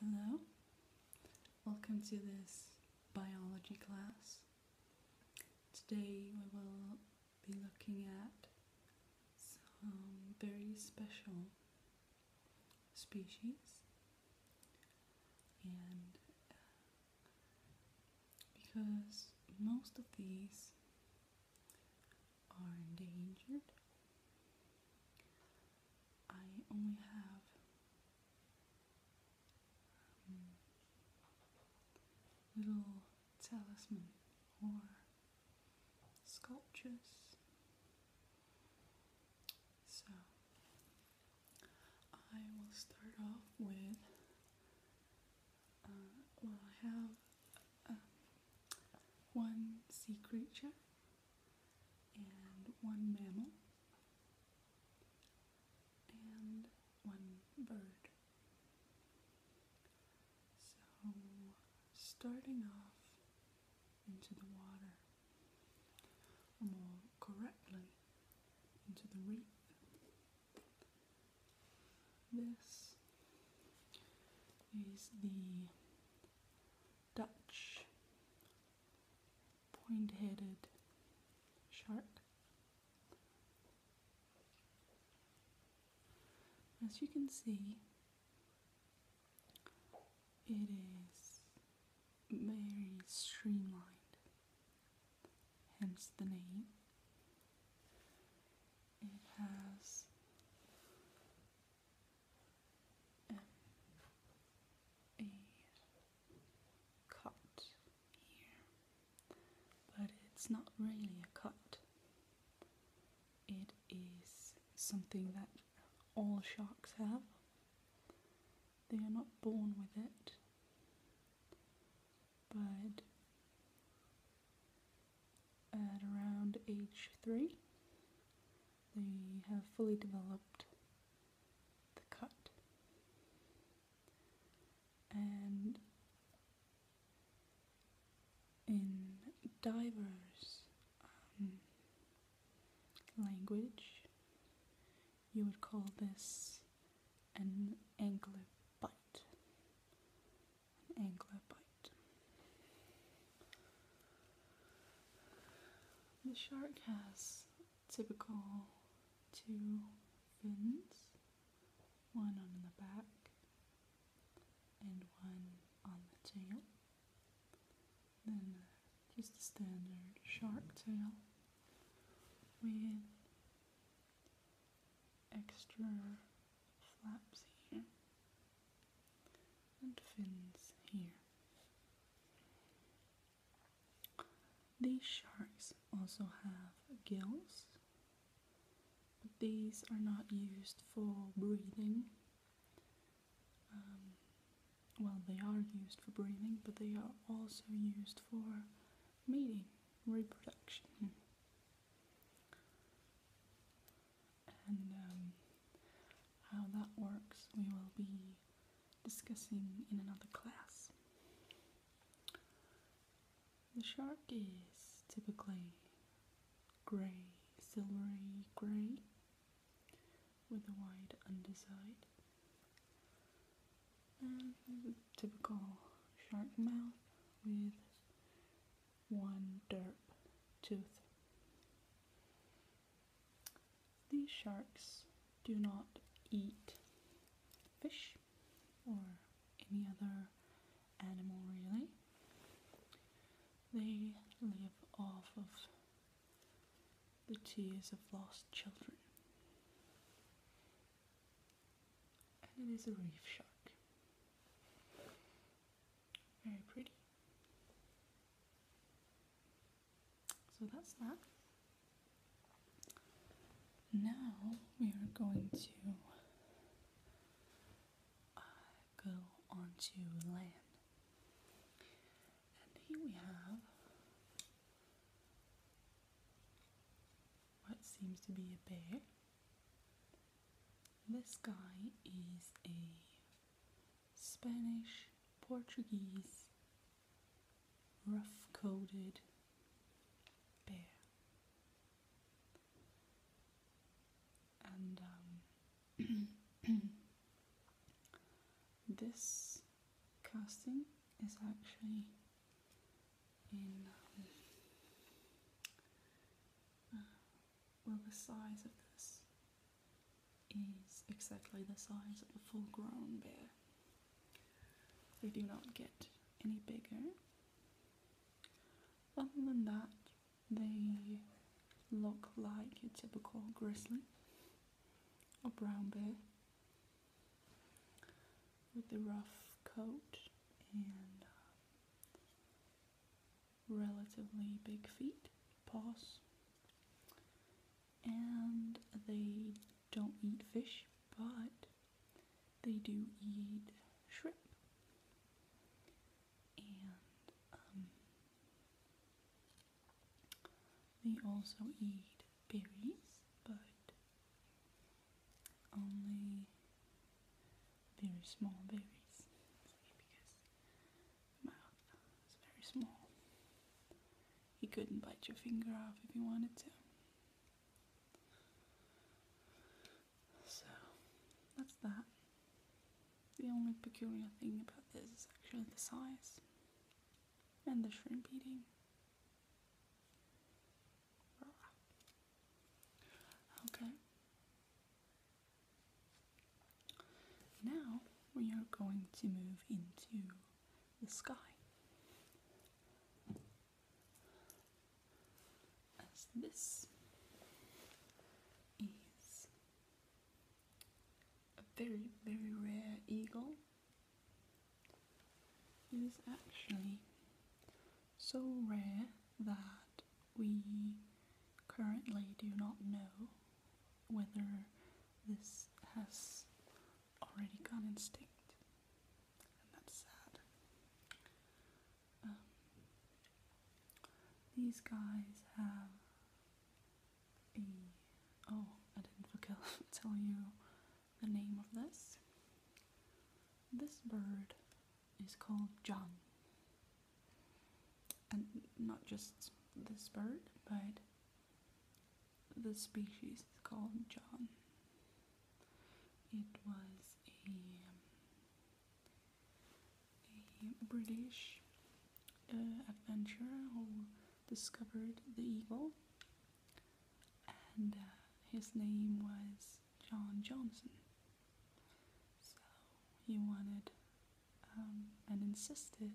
Hello, welcome to this biology class. Today we will be looking at some very special species and uh, because most of these are endangered I only have um, little talisman or sculptures. So I will start off with. Uh, well, I have um, one sea creature and one mammal, and one bird. So, starting off into the water, more correctly, into the reef. This is the Dutch point headed shark. As you can see, it is very streamlined, hence the name. It has M a cut here, but it's not really a cut. It is something that all sharks have. They are not born with it, but at around age three, they have fully developed the cut. And in diverse um, language, you would call this an angler bite. An angler bite. The shark has typical two fins, one on the back and one on the tail. Then just a standard shark tail with extra flaps here and fins here. These sharks also have gills, these are not used for breathing. Um, well, they are used for breathing, but they are also used for mating, reproduction and um, how that works we will be discussing in another class. The shark is typically grey, silvery grey with a wide underside and typical shark mouth with one derp tooth. These sharks do not eat fish or any other animal really. They live off of the tears of lost children. And it is a reef shark. Very pretty. So that's that. Now we are going to uh, go onto land. And here we have what seems to be a bear. This guy is a Spanish Portuguese rough coated bear, and um, this casting is actually in. Um, uh, well the size of this is exactly the size of a full grown bear. They do not get any bigger. Other than that, they look like a typical grizzly or brown bear with the rough coat and uh, relatively big feet, paws, and they don't eat fish, but they do eat shrimp and um, they also eat berries, but only very small babies because mouth is very small. He couldn't bite your finger off if he wanted to. So that's that. The only peculiar thing about this is actually the size and the shrimp eating. Okay. Now we are going to move into the sky. As this is a very, very rare eagle. It is actually so rare that we currently do not know whether this has already gone extinct, and that's sad. Um, these guys have a. Oh, I didn't forget to tell you the name of this. This bird is called John and not just this bird, but the species called John. It was a, um, British uh, adventurer who discovered the eagle, and uh, his name was John Johnson. So he wanted um, and insisted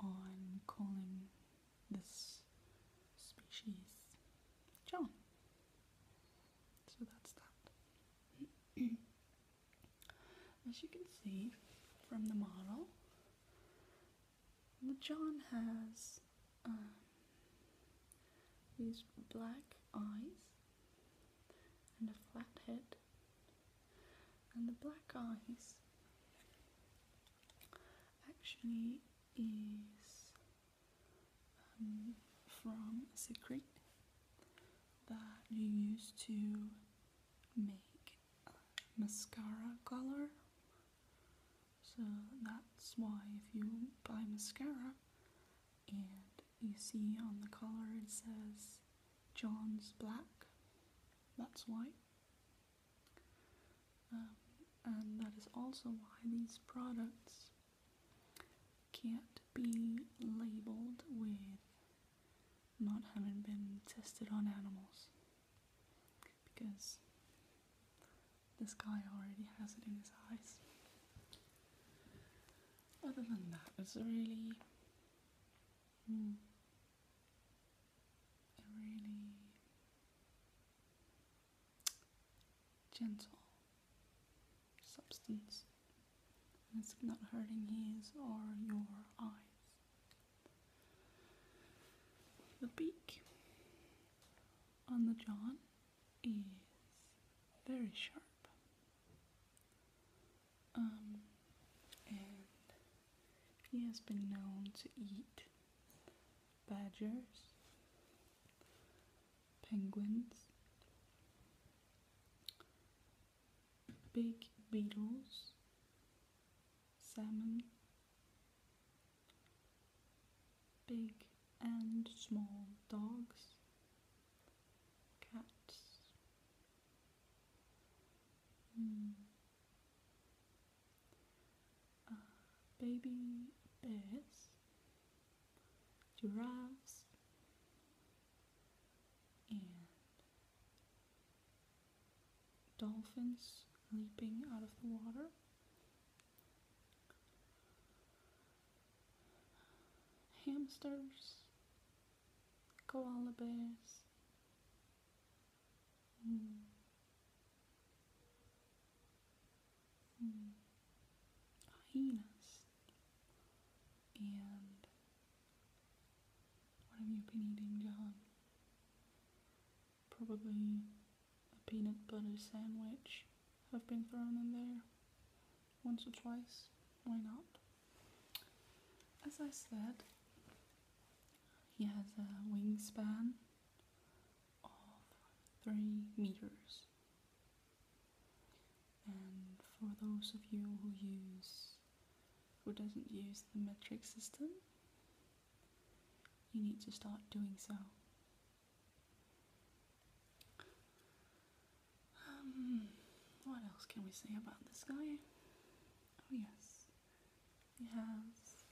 on calling this species John. So that's that. As you can see from the model, John has um, these black eyes and a flat head and the black eyes actually is um, from a secret that you use to make mascara color so that's why if you buy mascara and you see on the collar it says John's Black, that's why. Um, and that is also why these products can't be labeled with not having been tested on animals because this guy already has it in his eyes other than that, it's a really, hmm, a really gentle substance. it's not hurting his or your eyes. The beak on the jaw is very sharp um, and he has been known to eat badgers, penguins, big beetles, salmon, big and small dogs, cats. Hmm. Uh, baby bears, giraffes, and dolphins leaping out of the water hamsters, koala bears. Hmm. Hmm. Hyenas and what have you been eating, John? Probably a peanut butter sandwich have been thrown in there once or twice. Why not? As I said, he has a wingspan of three meters. And for those of you who use who doesn't use the metric system, you need to start doing so um, what else can we say about this guy? Oh, yes, he has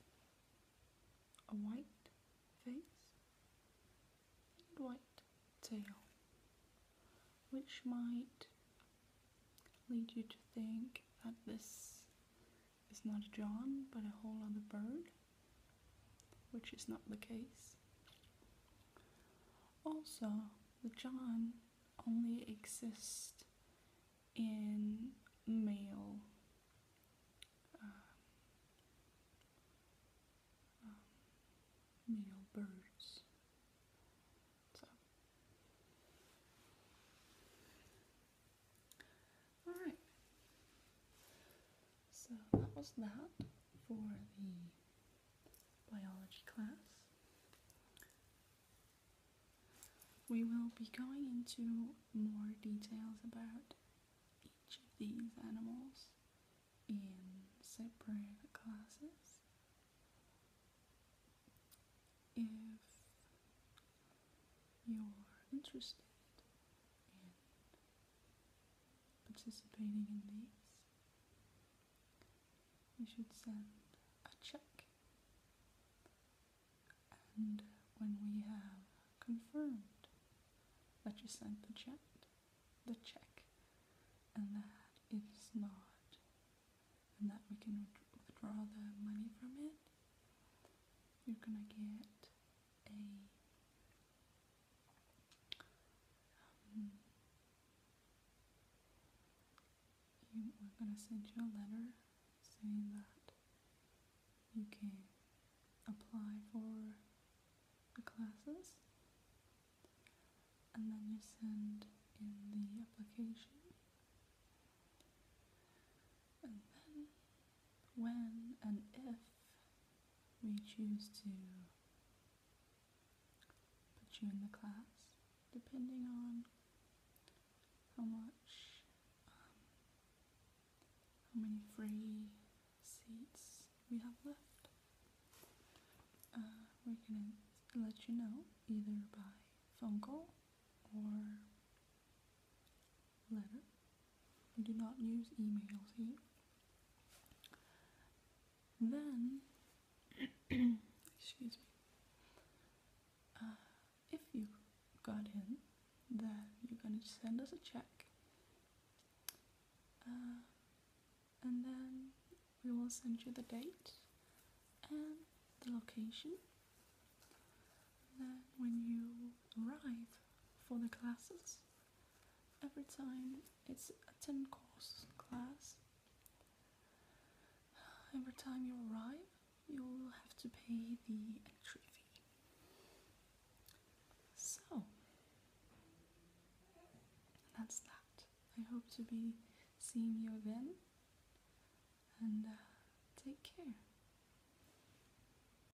a white face and white tail, which might lead you to think that this is not a John but a whole other bird which is not the case. Also, the John only exists in male um, um, male birds. all right. So that was that for the biology class. We will be going into more details about each of these animals in separate classes. If you're interested in participating in these, you should send a check. And when we have confirmed that you sent the check, the check, and that it is not, and that we can withdraw the money from it, you're gonna get a um, we're going to send you a letter saying that you can apply for the classes and then you send in the application and then when and if we choose to put you in the class depending on how much, um, how many free seats we have left. Uh, we're going to let you know either by phone call or letter. We do not use emails here. Then, excuse me, uh, if you got in, then you're going to send us a check. Uh, and then we will send you the date and the location. then when you arrive for the classes, every time. It's a 10 course class. Every time you arrive, you'll have to pay the entry fee. So, that's that. I hope to be seeing you again and uh, take care.